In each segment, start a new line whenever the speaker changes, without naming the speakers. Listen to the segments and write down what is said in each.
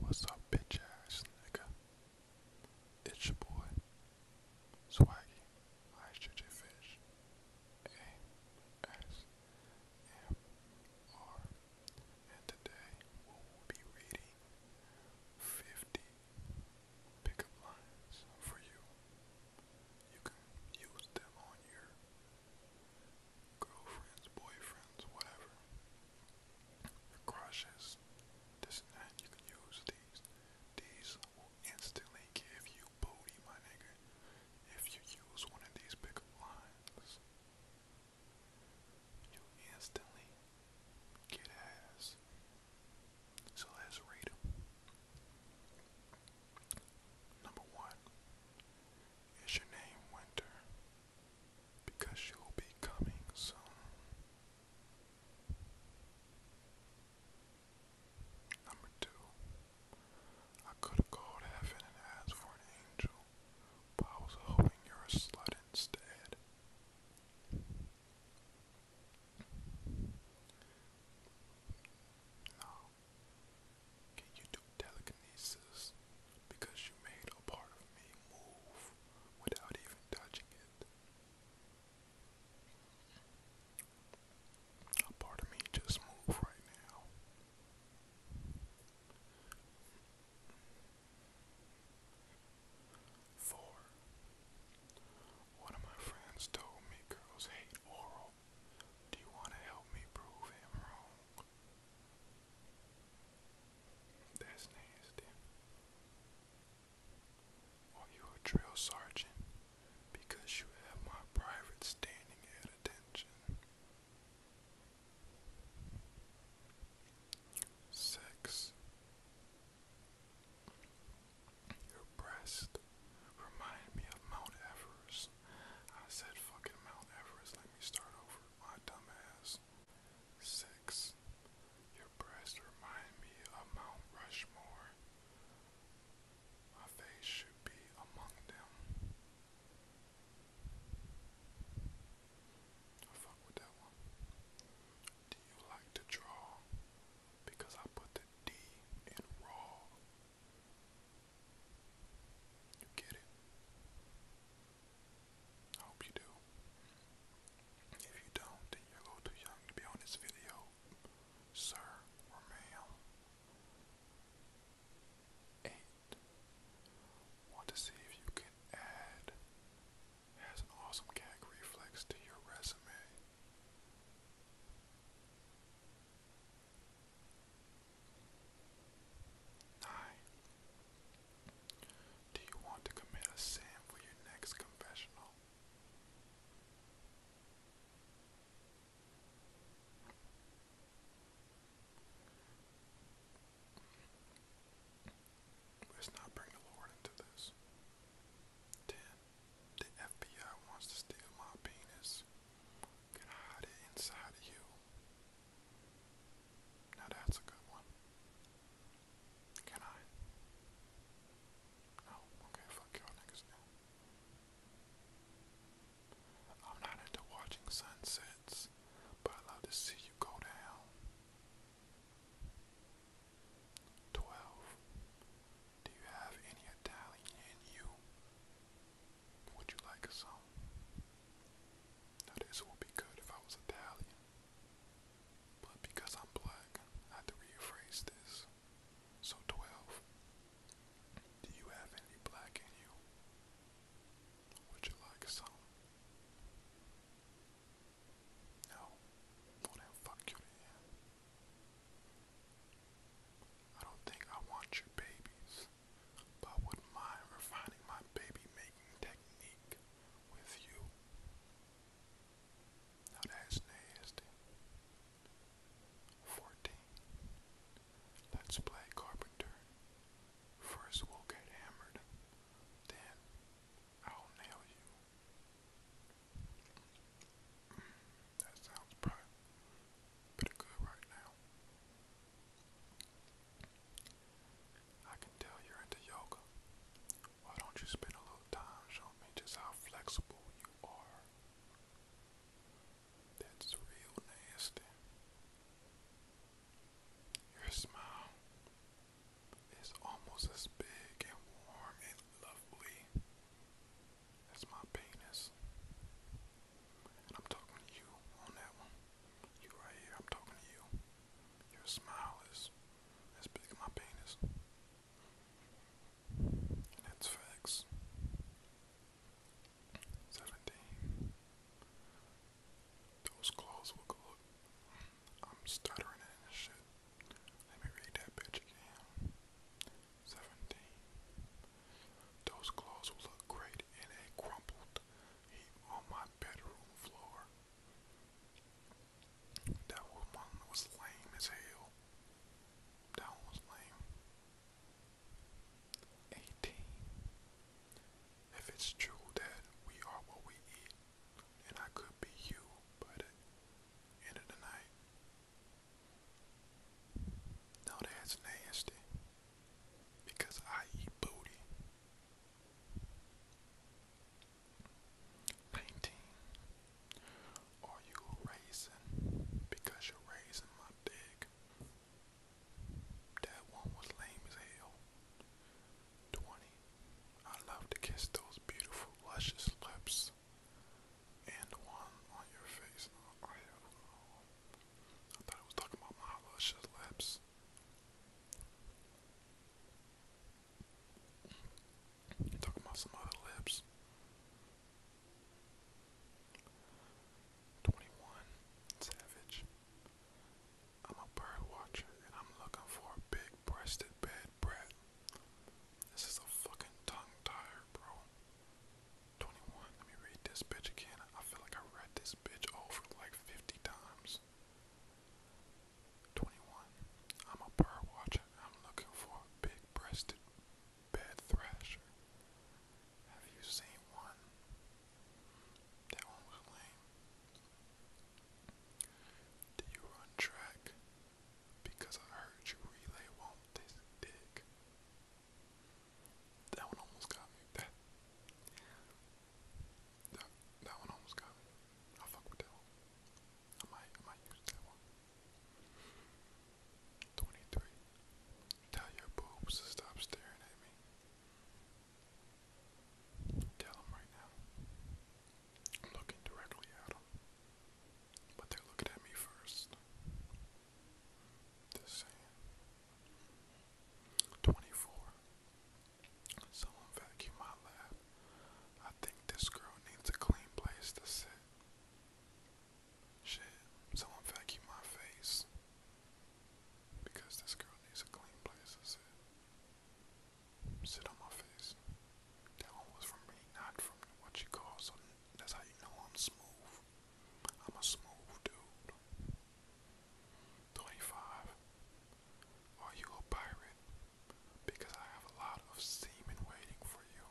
What's up, bitch ass nigga? It's your boy, Swaggy. I shoot your fish. A S M R. And today we will be reading 50 pickup lines for you. You can use them on your girlfriends, boyfriends, whatever, crushes, this and that, you can use these. These will instantly give you booty, my nigga, if you use one of these pickup lines. You instantly get ass. So let's read them. Number one, is your name Winter? Because you'll be coming soon. Number two. I could have called heaven and asked for an angel, but I was hoping you're a slut instead. No, can you do telekinesis? Because you made a part of me move without even touching it. A part of me just move right now. Four. One of my friends told me girls hate oral do you want to help me prove him wrong? That's nasty. Are you a drill sergeant? Because you have my private standing at attention. Sex. Your breast remind me of Mount Everest. I said fucking Mount Everest. Let me start over, my dumbass. Six. Your breasts remind me of Mount Rushmore. My face should be among them. I fuck with that one. Do you like to draw? Because I put the D in raw. You get it? I hope you do. If you don't, then you're a little too young to be on this video, sir or ma'am. Eight. Want to see if you can add has an awesome gag reflex to your resume. Nine. Do you want to commit a sin for your next confessional? Let's not bring the Lord into this. 10. The FBI wants to steal my penis can hide it inside of you. that's a good one. Can I? No, okay, fuck y'all niggas now. I'm not into watching sunsets, but I love to see you go down. 12. Do you have any Italian in you? Would you like a song? Now this would be good if I was Italian. But because I'm black, I have to rephrase this. So 12. Do you have any black in you? Would you like some? No. Well then fuck you then. I don't think I want your babies, but I wouldn't mind refining my baby making technique with you. Now nasty. 14. Let's play carpenter. First we'll get hammered, then I'll nail you. That sounds pretty good right now. I can tell you're into yoga. Why don't you spend a little time showing me just how flexible you are? That's real nasty. Your smile is almost as big and warm and lovely that's my penis. And I'm talking to you on that one. You right here, I'm talking to you. Your smile is as big as my penis. that's facts. 17. Those claws look look. I'm stuttering and shit. Let me read that bitch again. Seventeen. Those claws will look great in a crumpled heap on my bedroom floor. That one was lame as hell. That one was lame. 18. If it's true that we are what we eat, and I could be you by the end of the night, no, that's nasty. Because I eat booty. 19. Are you raising because you're raising my dick? That one was lame as hell. 20. I love to kiss those beautiful, luscious lips and one on your face. I, have, I was talking about my luscious lips. talking about some other lips. 21 Savage. I'm a bird watcher and I'm looking for a big breasted bed brat. This is a fucking tongue tire, bro. 21. Let me read this bitch again. I feel like I read this bitch over like 50 times. 21. I'm a bird watcher. I'm looking for big breasted bed thrasher. Have you seen one? That one was lame. Do you run track? Because I heard you relay will this dick. That one almost got me. That, that, that one almost got me. I fuck with that one. I might, I might use that one. 23. Tell your boobs to stop staring at me. Tell them right now. I'm looking directly at them. But they're looking at me first. 24. Someone vacuum my lab. I think this girl needs a clean place to sit. Shit, someone vacuum my face. Because this girl needs a clean place to sit. Sit on my face. That was from me, not from what you call, so that's how you know I'm smooth. I'm a smooth dude. 25. Are you a pirate? Because I have a lot of semen waiting for you.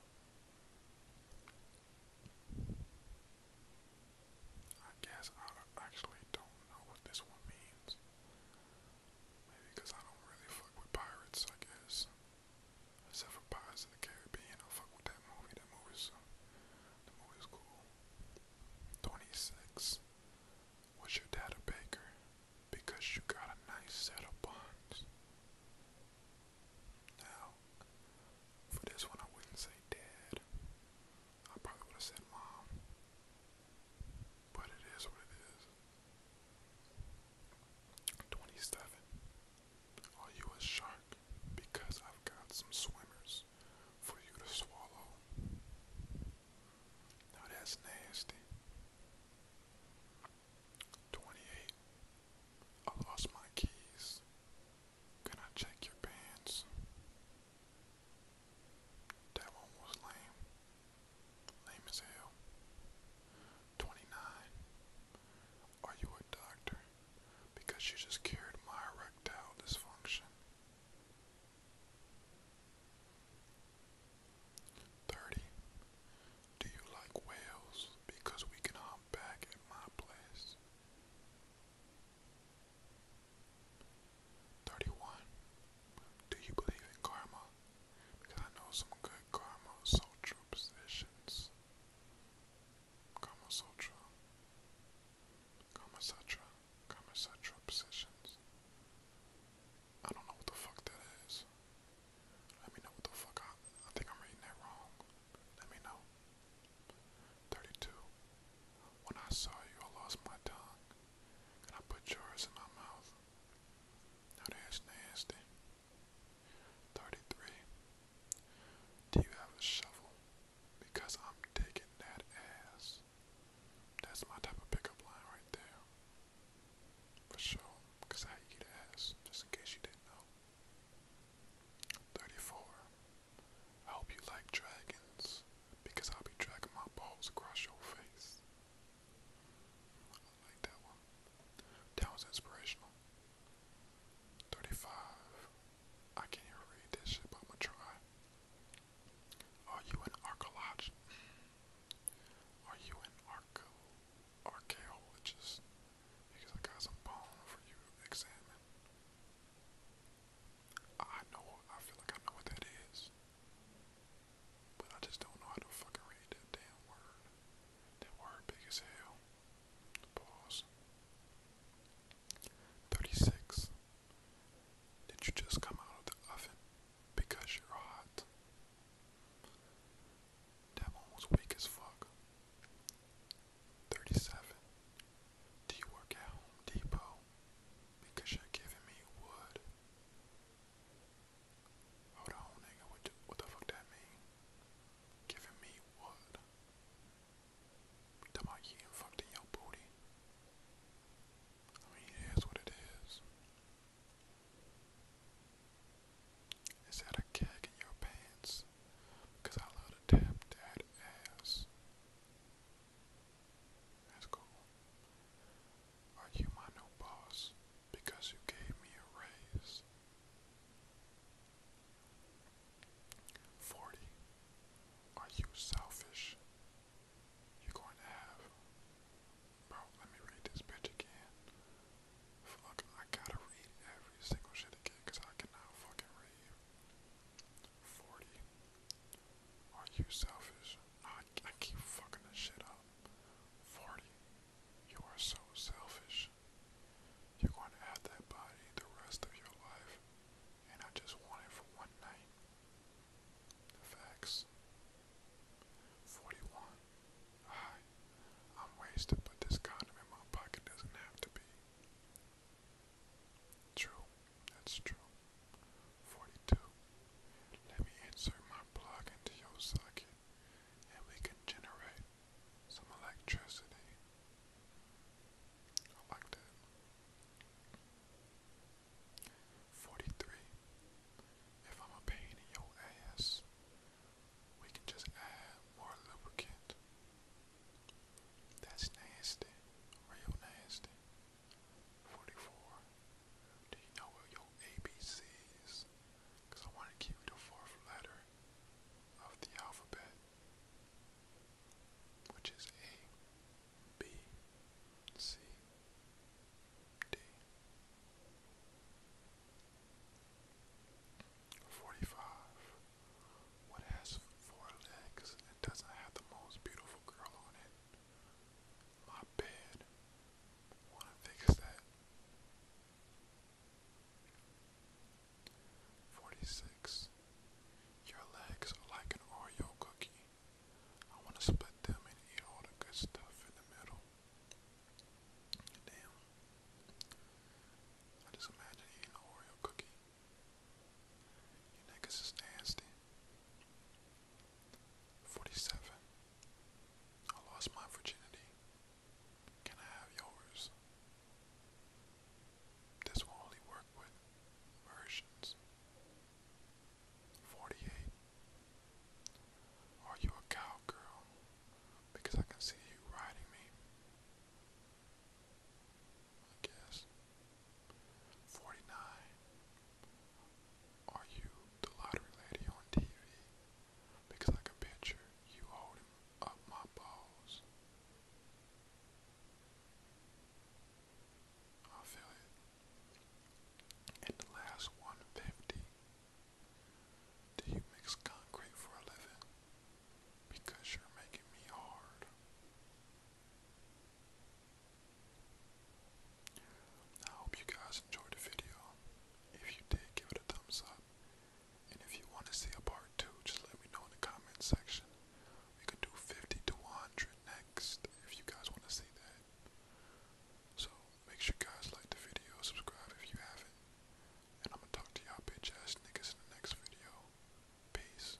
I guess I actually don't know what this one means. Maybe because I don't really fuck with pirates, I guess. Except for Pirates in the Caribbean. I fuck with that movie. That movie's uh, the movie's cool. Twenty six. Was your dad a baker? Because you got a nice set of buns. Now, for this one, I wouldn't say dad. I probably would have said mom. But it is what it is. 27. Are you a shark? Because I've got some swimmers for you to swallow. Now that's nasty. 28. I lost my keys. Can I check your pants? That one was lame. Lame as hell. 29. Are you a doctor? Because you just cured my erectile dysfunction. 30. Do you like whales? Because we can hop back at my place. 31. Do you believe in karma? Because I know some good karma soul positions. Kamasotra, Kamasatra, Kamasatra positions. I don't know what the fuck that is. Let me know what the fuck I, I think I'm reading that wrong. Let me know. 32. When I saw you, I lost my tongue, and I put yours in my mouth. Now that's nasty. Thirty-three. Do you have a shovel? Because I'm digging that ass. That's my type of pickup line right there. For sure, because I eat ass, just in case you didn't know. 34. I hope you like dragons, because I'll be dragging my balls across your face. I like that one. That was inspirational. 35. I can't even read this shit, but I'm gonna try. Are you an archaeologist? Are you an arch archaeologist? Because I got some bone for you to examine. I know, I feel like I know what that is. But I just don't know how to fucking read that damn word. That word big as hell. Pause. 36. Did you just come out of the oven because you're hot? That one was weak as fuck. 37. Do you work at Home Depot because you're giving me wood? Hold on, nigga. What the, what the that mean? Giving me what? Talking about you and fucked in your booty. I mean, it is what it is. Is that a keg in your pants? Because I love to tap that ass. That's cool. Are you my new boss? because you gave me a raise. 40. Are you selfish? You're going to have. Bro, let me read this bitch again. Fuck, I gotta read every single shit again because I cannot fucking read. 40. Are you selfish? I, I keep fucking this shit up. 40. You are so selfish. You're going to have that body the rest of your life, and I just want it for one night. The facts. 41. Hi, I'm wasted, but this condom in my pocket doesn't have to be. True, that's true. 42. Let me insert my plug into your socket, and we can generate some electricity. I like that. 43. If I'm a pain in your ass, we can just add more lubricant. That's nasty. Real nasty. 44. Do you know what your ABCs? Because I want to keep the fourth letter of the alphabet, which is A, B, C, D. 45. What has four legs and doesn't have the most beautiful girl on it? My bed. Wanna fix that? 46. Your legs are like an Oreo cookie. I want to split them and eat all the good stuff in the middle. Damn. I just imagine eating an Oreo cookie. You niggas is nasty. 47. I lost my virginity. Can I have yours? This will only work with versions. 48. Are you a cowgirl? Because I can see you riding me. I guess. 49. Are you the lottery lady on TV? because I can picture you holding up my balls. I feel it. And the last 150. Do you mix concrete for a living? Because you're making me hard. I hope you guys enjoyed the video. If you did, give it a thumbs up. And if you want to see a part 2, just let me know in the comment section. We can do 50 to 100 next if you guys want to see that. So make sure you guys like the video, subscribe if you haven't. And I'm going to talk to y'all bitch ass niggas in the next video. Peace.